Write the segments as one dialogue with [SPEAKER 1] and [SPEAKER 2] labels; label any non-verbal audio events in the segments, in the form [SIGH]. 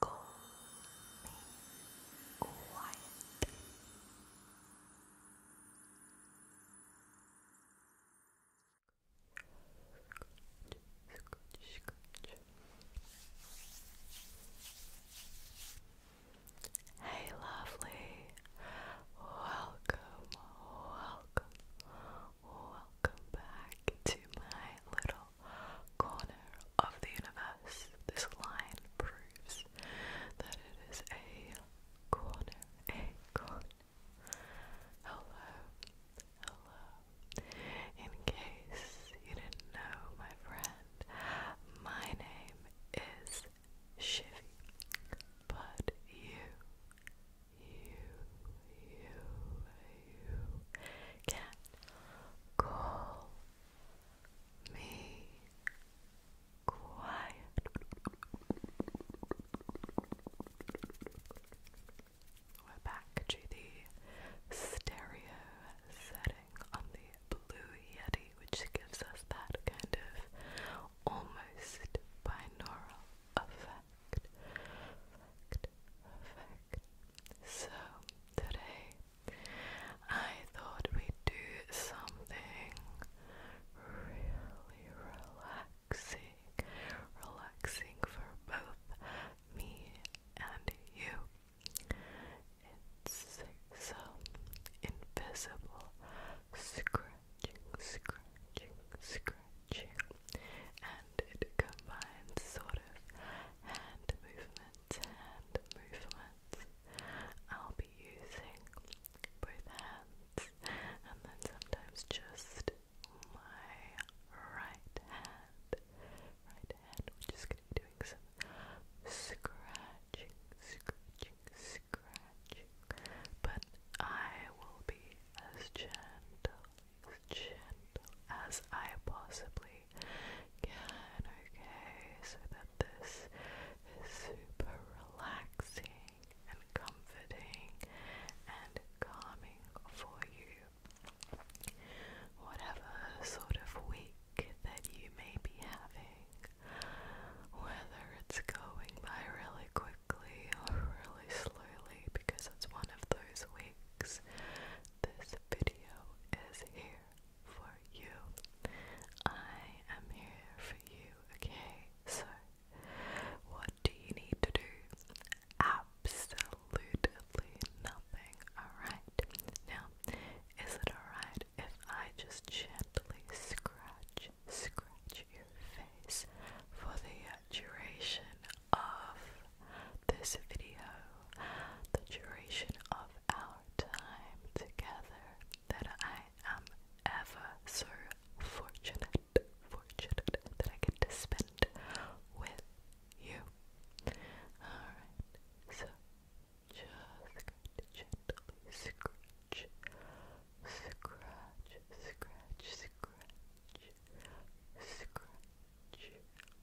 [SPEAKER 1] Call me Hey, lovely. Welcome, welcome, welcome back to my little corner of the universe. This line proves that it is a corner, a corner. Hello, hello. In case you didn't know, my friend, my name is Shivy, but you, you, you, can call me quiet. We're back to the stereo setting on the Blue Yeti, which gives us that kind of almost binaural effect. So, today I thought we'd do something really relaxing, relaxing for both me and you. It's some invisible scratching, scratching, scratching and it combines sort of hand movements, hand movements. I'll be using both hands and then sometimes just my right hand. Right hand, we're just gonna be doing some scratching, scratching, scratching. But I will be as gentle, as gentle as I possibly Good, okay, so that this is super relaxing and comforting and calming for you. Whatever sort of week that you may be having, whether it's going by really quickly or really slowly, because it's one of those weeks this video is here for you. I am here for you, okay? So, what do you need to do? Absolutely nothing, alright? Now, is it alright if I just gently scratch, scratch your face for the duration of this video, the duration of our time together, that I am ever so fortunate, fortunate that I get to spend with you. Alright, so just gently scratch, scratch, scratch, scratch, scratch.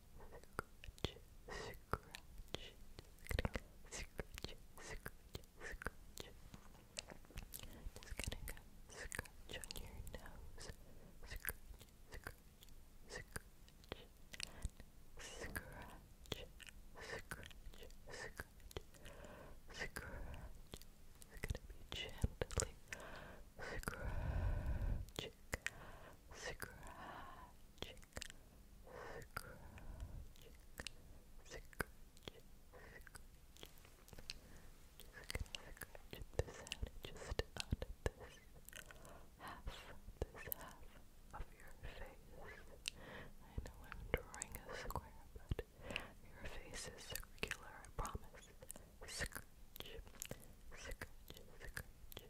[SPEAKER 1] scratch, scratch, scratch, scratch, scratch. Just gonna go scratch on your nose, scratch, scratch, scratch, scratch, scratch, scratch. Scratch. It's gonna be gently scratching, scratching, scratching, scratching, scratching. Just gonna scratch this out, just on this half, this half of your face. I know I'm drawing a square, but your face is circular, I promise. Scratch, scratch, scratch.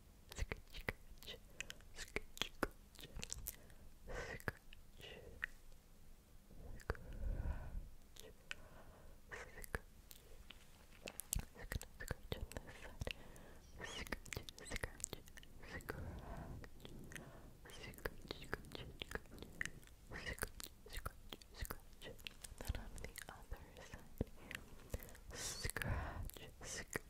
[SPEAKER 1] scratch, scratch, scratch, scratch, scratch, scratch. Just gonna scratch on this side. Scratch, scratch, scratch, scratch, scratch, scratch, Then on the other side, scratch, scratch,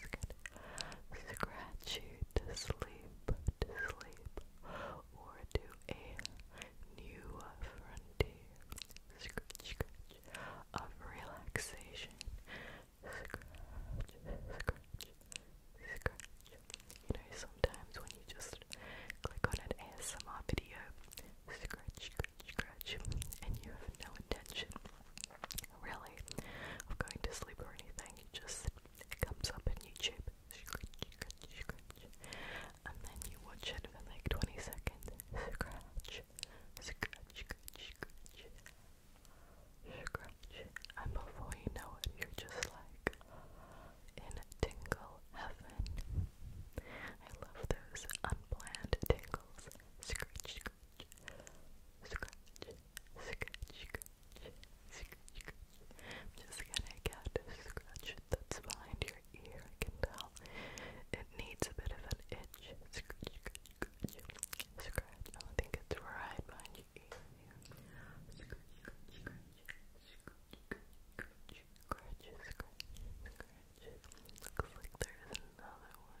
[SPEAKER 1] scratch you to sleep, to sleep, or to a new frontier. of relaxation. You know, sometimes when you just click on an ASMR video, and you have no intention, really, of going to sleep or anything. You just, it comes up in YouTube, and then you watch it for like 20 seconds. Scratch, scratch, and before you know it, you're just like in tingle heaven. I love those unplanned tingles. Scratch, scratch scratch, scratch, scratch, scratch. I'm just gonna get a scratch that's behind your ear, I can tell. It needs a bit of an itch. Scratch, I think it's right behind your ear. Scratch, scratch, scratch. Scratch, scratch, scratch. Scratch. like there's another one.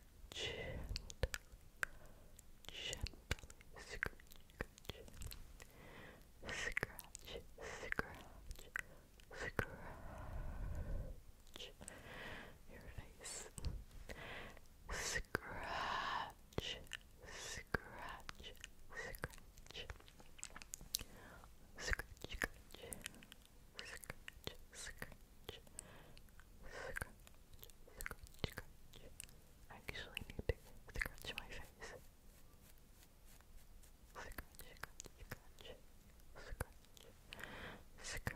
[SPEAKER 1] gently, gently scratch, scratch, scratch, scratch your face, scratch, scratch, scratch. Scratch, scratch, scratch, scratch, scratch, scratch. I actually need to scratch my face. Scratch, scratch, scratch, scratch,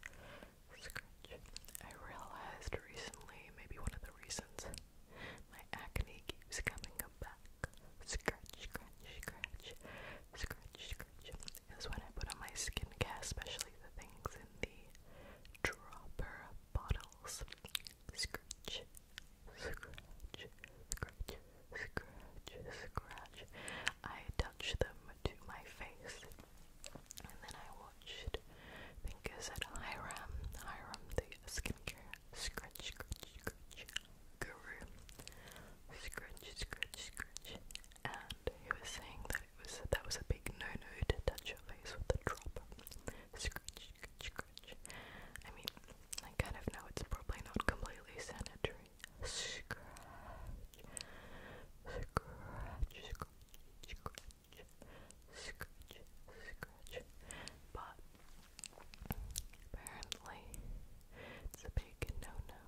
[SPEAKER 1] scratch, scratch. I realized recently, maybe one of the reasons my acne keeps coming back. Scratch, scratch, scratch, scratch, scratch, is when I put on my skincare, especially the things in the dropper bottles. Scratch, scratch, scratch, scratch, scratch. I touch them to my face and then I watched, think I said Hiram, Hiram the skincare scratch, scratch, scratch guru. Scratch, scratch, scratch and he was saying that it was that was a big no-no to touch your face with a drop. Scratch, scratch, I mean, I kind of know it's probably not completely sanitary. Scratch, scratch, scratch, scratch, scratch, scratch. But apparently, it's a big no-no.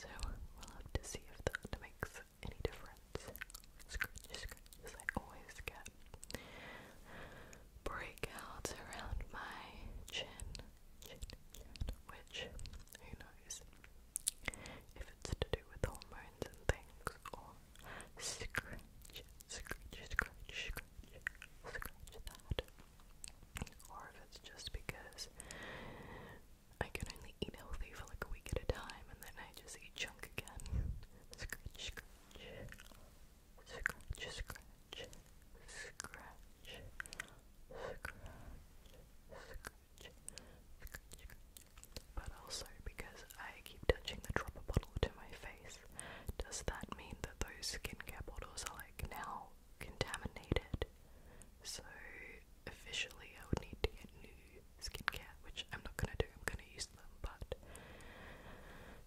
[SPEAKER 1] So we'll have to see if that makes any difference. Scratch, I always get breakouts around my chin, which who knows if it's to do with hormones and things or that, or if it's just because I can only eat healthy for like a week at a time and then I just eat junk again. But also because I keep touching the dropper bottle to my face, does that mean that those skincare bottles are like now contaminated? So officially I would need to get new skincare, which I'm not gonna do, I'm gonna use them, but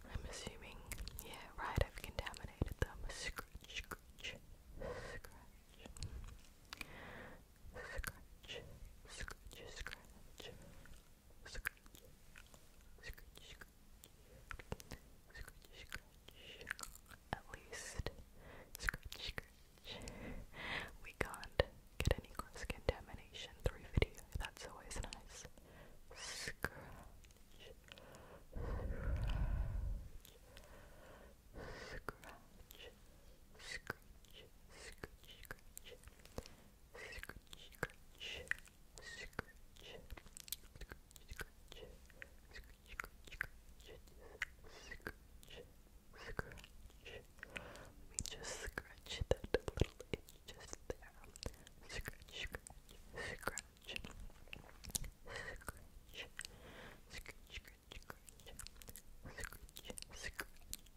[SPEAKER 1] I'm assuming, yeah, right, I've contaminated them. Scratch, scratch, scratch. Scratch, scratch, scratch, scratch, scratch, scratch, scratch, scratch, at least, scratch, scratch, [LAUGHS] We can't get any cross contamination through video, that's always nice. Scratch, scratch, scratch, scratch, scratch, scratch, scratch, scratch, scratch, scratch, scratch, scratch, let me just scratch that little itch just there. Scratch, scratch, scratch. Scratch, scratch, scratch, scratch. Scratch, scratch, scratch. Scratch,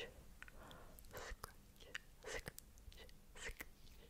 [SPEAKER 1] scratch, scratch, scratch, scratch,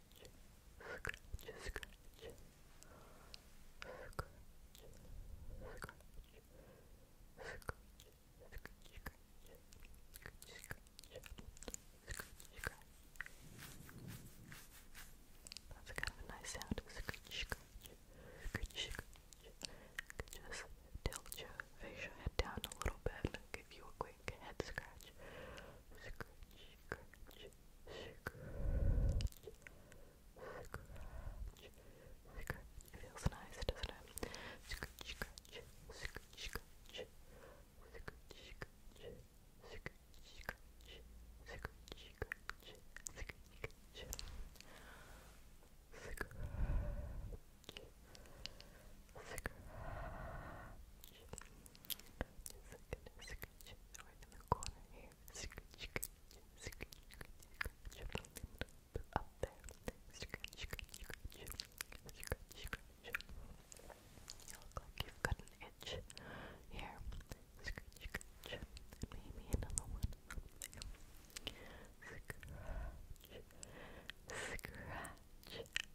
[SPEAKER 1] scratch, scratch, That's kind of a nice sound. Scratch, scratch, scratch, scratch. Just tilt your facial head down a little bit, give you a quick quick head scratch. Scratch, scratch, scratch, scratch, scratch. It feels nice, doesn't it? Scratch, scratch, scratch, scratch, scratch, scratch, scratch, scratch, scratch, scratch, scratch. Scratch. Scratch. Scratch. Just gonna scratch it right in the corner here. Scratch, scratch, scratch, scratch, scratch. Up there. Scratch, scratch, scratch. Scratch, scratch. You look like you've got an itch here. Scratch, scratch. And maybe another one up there. Scratch, scratch,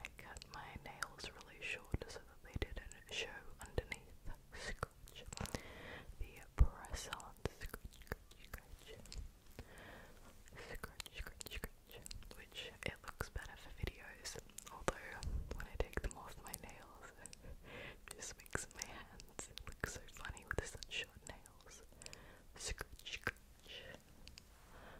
[SPEAKER 1] I cut my nails really short so that they didn't show underneath. the press Which it looks better for videos. Although when I take them off my nails, [LAUGHS] it just makes my hands look so funny with such short nails.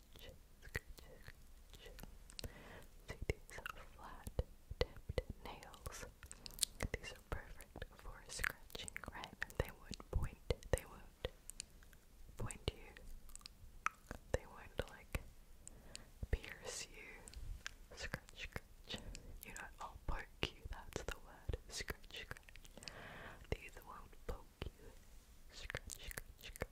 [SPEAKER 1] See these flat tipped nails? These are perfect for scratching, right? They would point, they would point you, they would like pierce you. Scratch, scratch. You know, I'll poke you, that's the word. Scratch, scratch. These won't poke you. Scratch, scratch, scratch.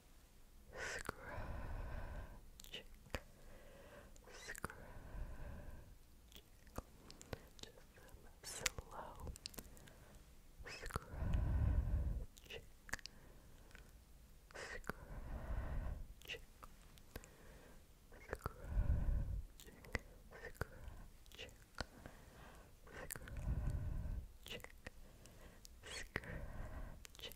[SPEAKER 1] Scratch, scratching, just some slow scratching, scratching. Scratching, scratching, scratching, scratching,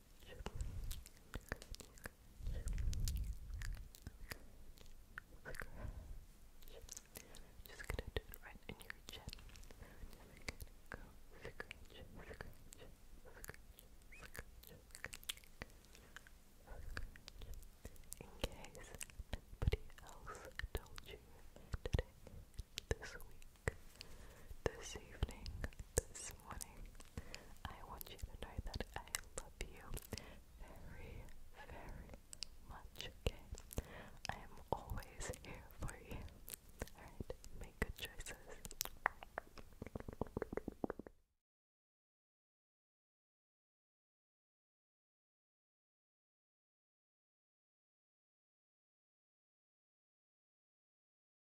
[SPEAKER 1] Just gonna do it right in your chin. In case nobody else told you today, this week, this evening, this morning, I want you to know that I love you very, very much, okay? I am always here for you. Alright, make good choices.